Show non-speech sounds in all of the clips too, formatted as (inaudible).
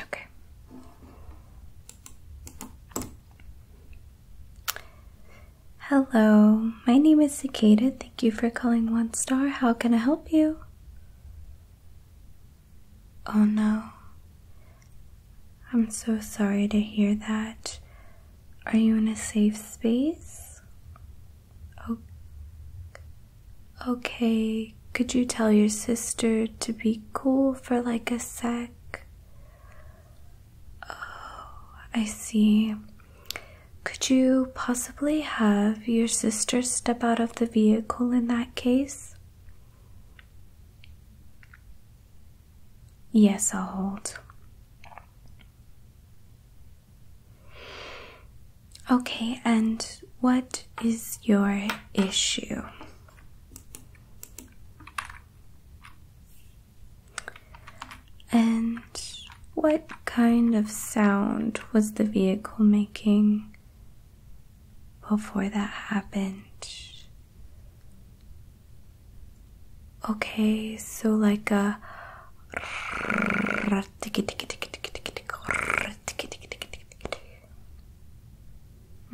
Okay. Hello, my name is Cicada. Thank you for calling One Star. How can I help you? Oh no. I'm so sorry to hear that. Are you in a safe space? Okay, could you tell your sister to be cool for like a sec? Oh, I see. Could you possibly? have your sister step out of the vehicle in that case? Yes, I'll hold. Okay, and what is your issue? And what kind of sound was the vehicle making? before that happened. Okay, so like a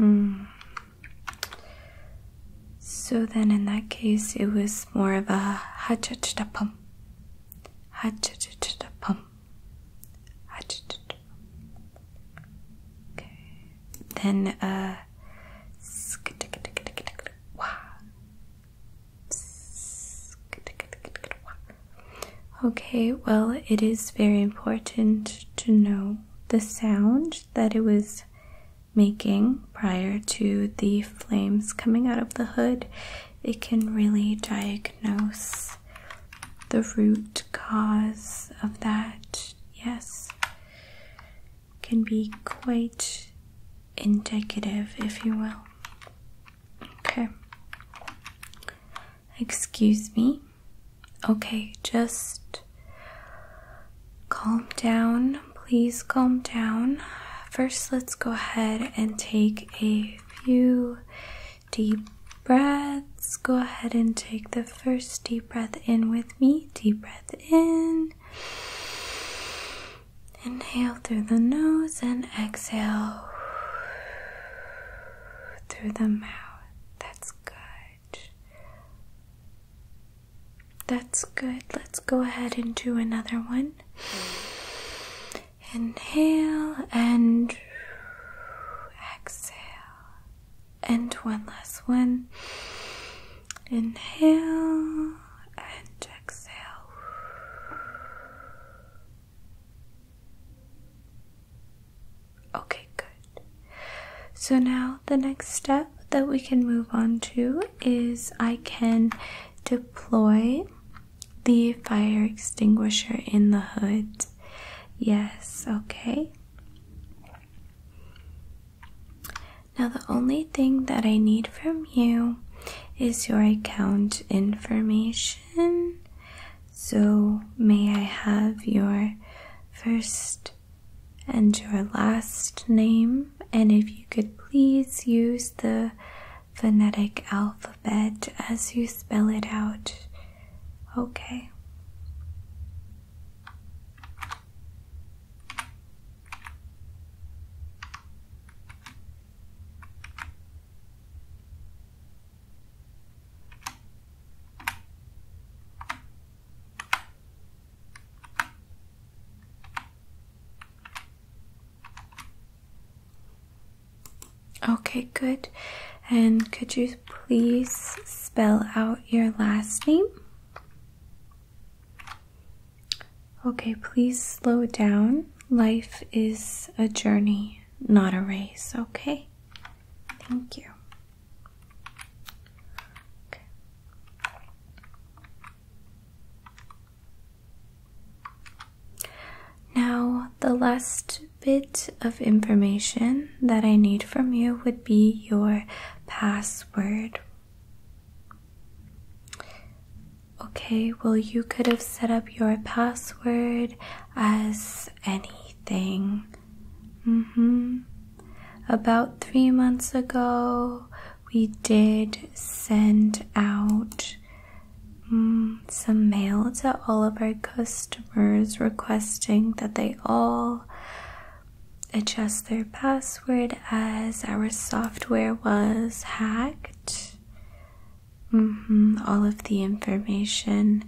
mm. So then in that case it was more of a ha cha cha pum. Ha cha cha cha pum. Okay. Then uh, Okay, well, it is very important to know the sound that it was making prior to the flames coming out of the hood. It can really diagnose the root cause of that, yes, can be quite indicative, if you will. Okay. Excuse me. Okay, just calm down. Please calm down. First, let's go ahead and take a few Deep breaths. Go ahead and take the first deep breath in with me. Deep breath in. Inhale through the nose and exhale through the mouth. That's good. That's good. Let's go ahead and do another one. Inhale and exhale. And one last one. Inhale and exhale. Okay, good. So now the next step that we can move on to is I can deploy the fire extinguisher in the hood. Yes, okay. Now, the only thing that I need from you is your account information. So, may I have your first and your last name? And if you could please use the phonetic alphabet as you spell it out. Okay. Okay, good. And could you please spell out your last name? Okay, please slow down. Life is a journey, not a race, okay? Thank you. Now, the last bit of information that I need from you would be your password. Okay, well, you could have set up your password as anything. Mm hmm. About three months ago, we did send out Mm, some mail to all of our customers requesting that they all adjust their password as our software was hacked. Mm-hmm, all of the information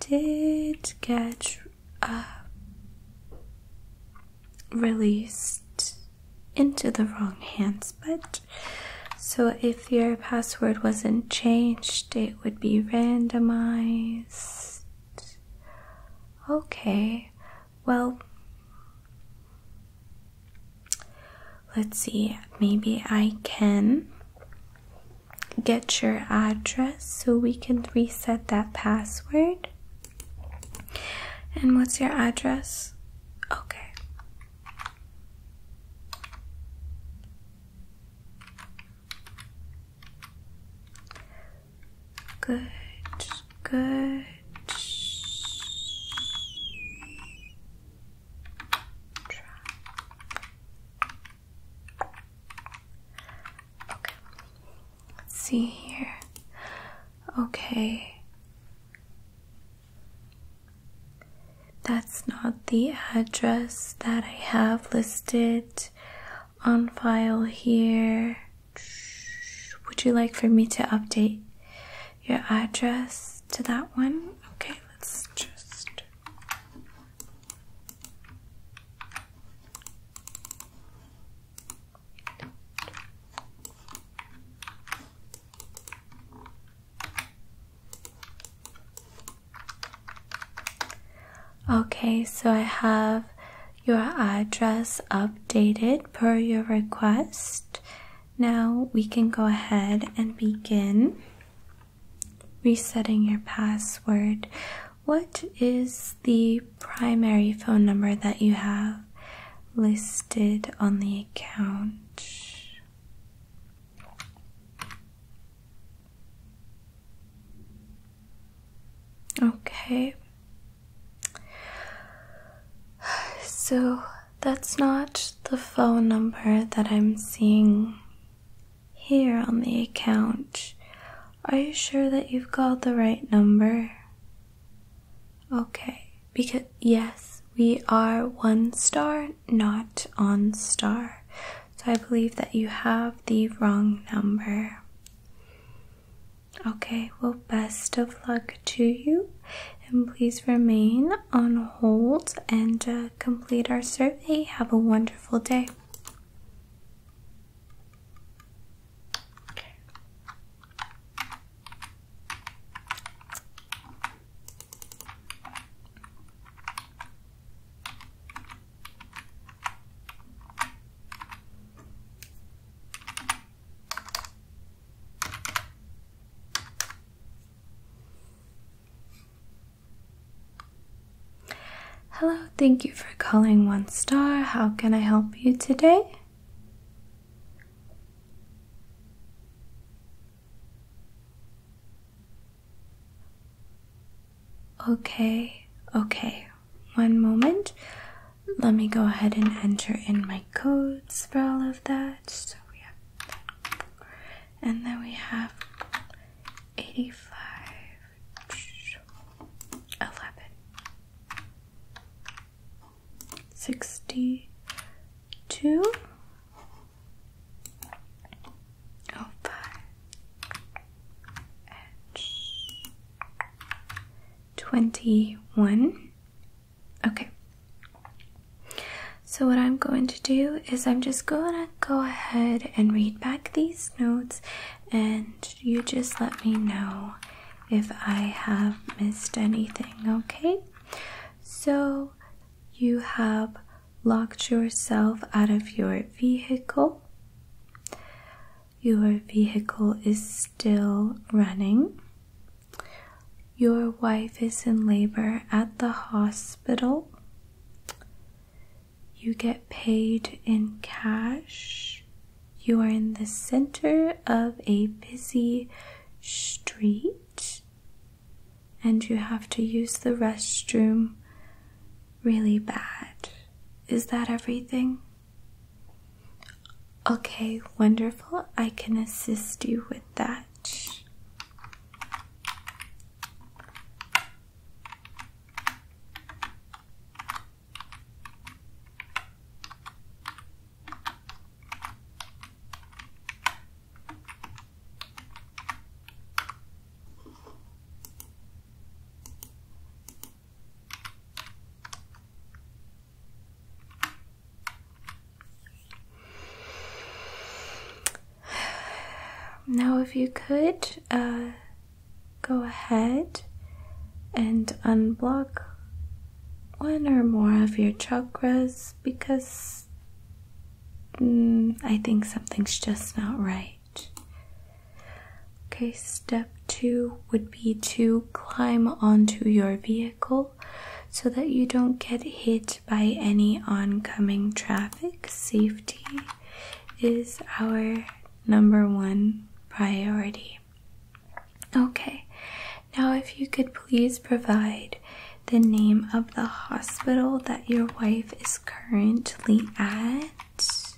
did get uh, released into the wrong hands, but so if your password wasn't changed, it would be randomized. Okay, well, let's see, maybe I can get your address so we can reset that password. And what's your address? Okay. Good, good. Okay, let's see here. Okay. That's not the address that I have listed on file here. Would you like for me to update your address to that one? Okay, let's just. Okay, so I have your address updated per your request. Now we can go ahead and begin resetting your password. What is the primary phone number that you have listed on the account? Okay. So that's not the phone number that I'm seeing here on the account. Are you sure that you've called the right number? Okay. Because, yes, we are one star not on star. So I believe that you have the wrong number. Okay, well, best of luck to you. And please remain on hold and uh, complete our survey. Have a wonderful day. Hello, thank you for calling One Star. How can I help you today? Okay, okay. One moment. Let me go ahead and enter in my codes for all of that. So we have, and then we have 85, 62, over twenty one. Okay. So, what I'm going to do is, I'm just going to go ahead and read back these notes, and you just let me know if I have missed anything, okay? So, you have locked yourself out of your vehicle. Your vehicle is still running. Your wife is in labor at the hospital. You get paid in cash. You are in the center of a busy street and you have to use the restroom really bad. Is that everything? Okay, wonderful. I can assist you with that. Now, if you could uh, go ahead and unblock one or more of your chakras because Mm, I think something's just not right. Okay, step two would be to climb onto your vehicle so that you don't get hit by any oncoming traffic. Safety is our number one priority. Okay, now if you could please provide the name of the hospital that your wife is currently at?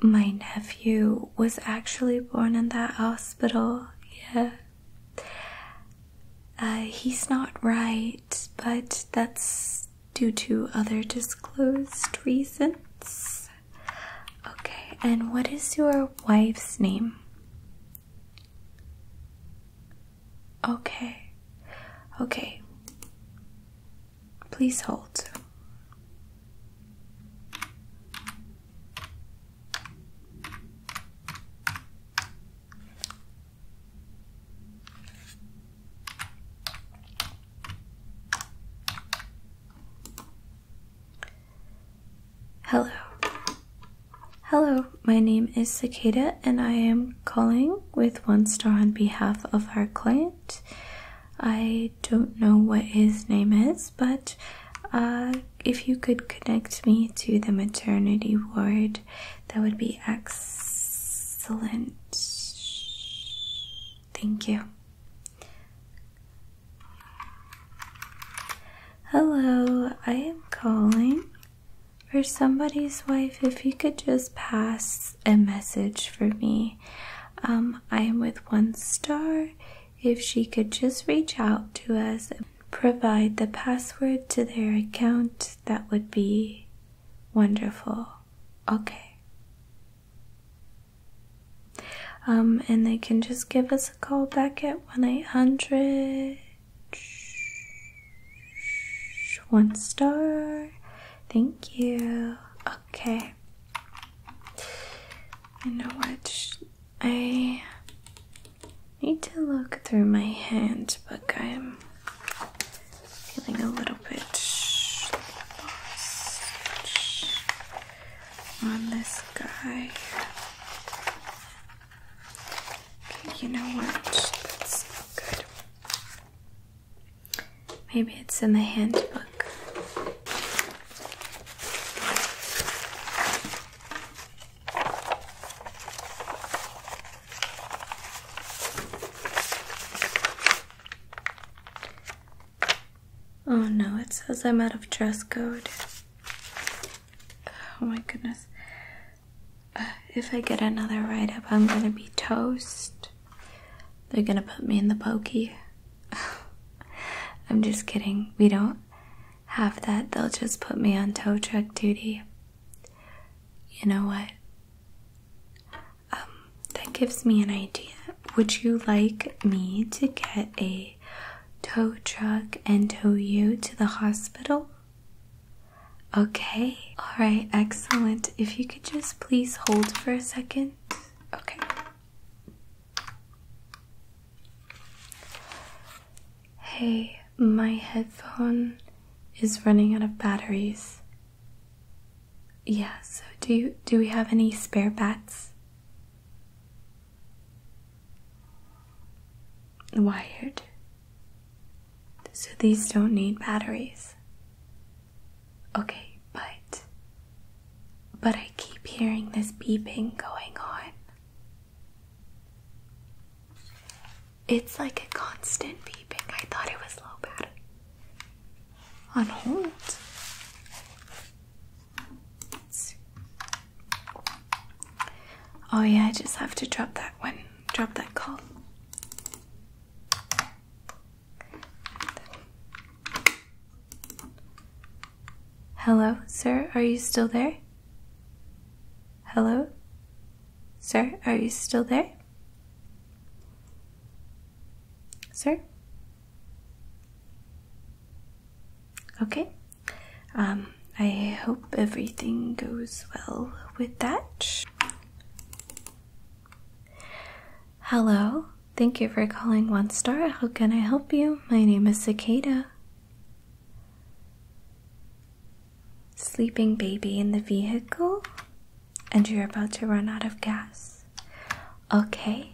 My nephew was actually born in that hospital, yeah. Uh, he's not right, but that's due to other disclosed reasons. Okay, and what is your wife's name? Okay. Okay. Please hold. Hello. Hello, my name is Cicada, and I am calling with one star on behalf of our client. I don't know what his name is, but uh, if you could connect me to the maternity ward, that would be excellent. Thank you. Hello, I am calling for somebody's wife, if you could just pass a message for me. Um, I am with one star. If she could just reach out to us and provide the password to their account, that would be wonderful. Okay. Um, and they can just give us a call back at 1 800. One star. Thank you. Okay. You know what? I need to look through my hand, handbook. I'm feeling a little bit on this guy you know what? That's good. Maybe it's in the handbook. Oh no, it says I'm out of dress code. Oh my goodness if I get another ride up, I'm gonna be toast. They're gonna put me in the pokey. (laughs) I'm just kidding. We don't have that. They'll just put me on tow truck duty. You know what? Um, that gives me an idea. Would you like me to get a tow truck and tow you to the hospital? Okay, all right, excellent. If you could just please hold for a second. Okay. Hey, my headphone is running out of batteries. Yeah, so do you do we have any spare bats? Wired. So these don't need batteries. Okay, but. But I keep hearing this beeping going on. It's like a constant beeping. I thought it was low battery. On hold. It's Oh, yeah, I just have to drop that one, drop that call. Hello, sir, are you still there? Hello, sir, are you still there? Sir? Okay. Um, I hope everything goes well with that. Hello, thank you for calling One Star. How can I help you? My name is Cicada. Sleeping baby in the vehicle, and you're about to run out of gas. Okay,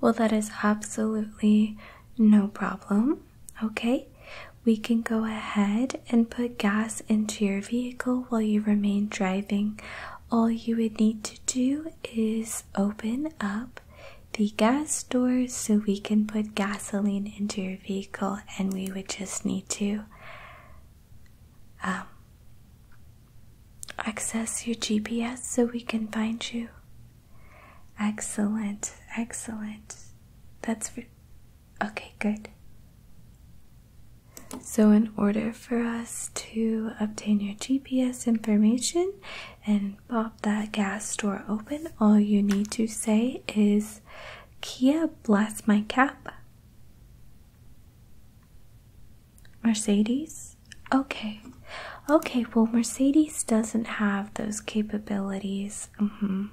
well, that is absolutely no problem. Okay, we can go ahead and put gas into your vehicle while you remain driving. All you would need to do is open up the gas door so we can put gasoline into your vehicle, and we would just need to um, access your GPS so we can find you. Excellent, excellent. That's Okay, good. So, in order for us to obtain your GPS information and pop that gas door open, all you need to say is Kia blast my cap. Mercedes? Okay. Okay, well, Mercedes doesn't have those capabilities. Mm-hmm.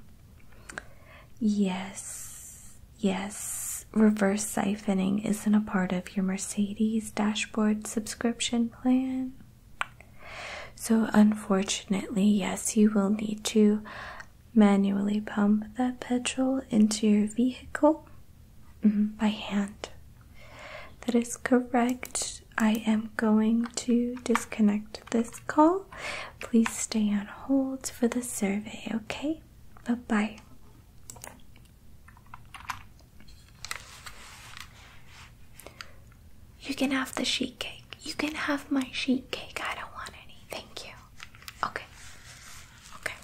Yes, yes, reverse siphoning isn't a part of your Mercedes dashboard subscription plan. So, unfortunately, yes, you will need to manually pump that petrol into your vehicle mm-hmm, by hand. That is correct. I am going to disconnect this call Please stay on hold for the survey, okay? Bye bye. You can have the sheet cake. You can have my sheet cake. I don't want any. Thank you. Okay. Okay.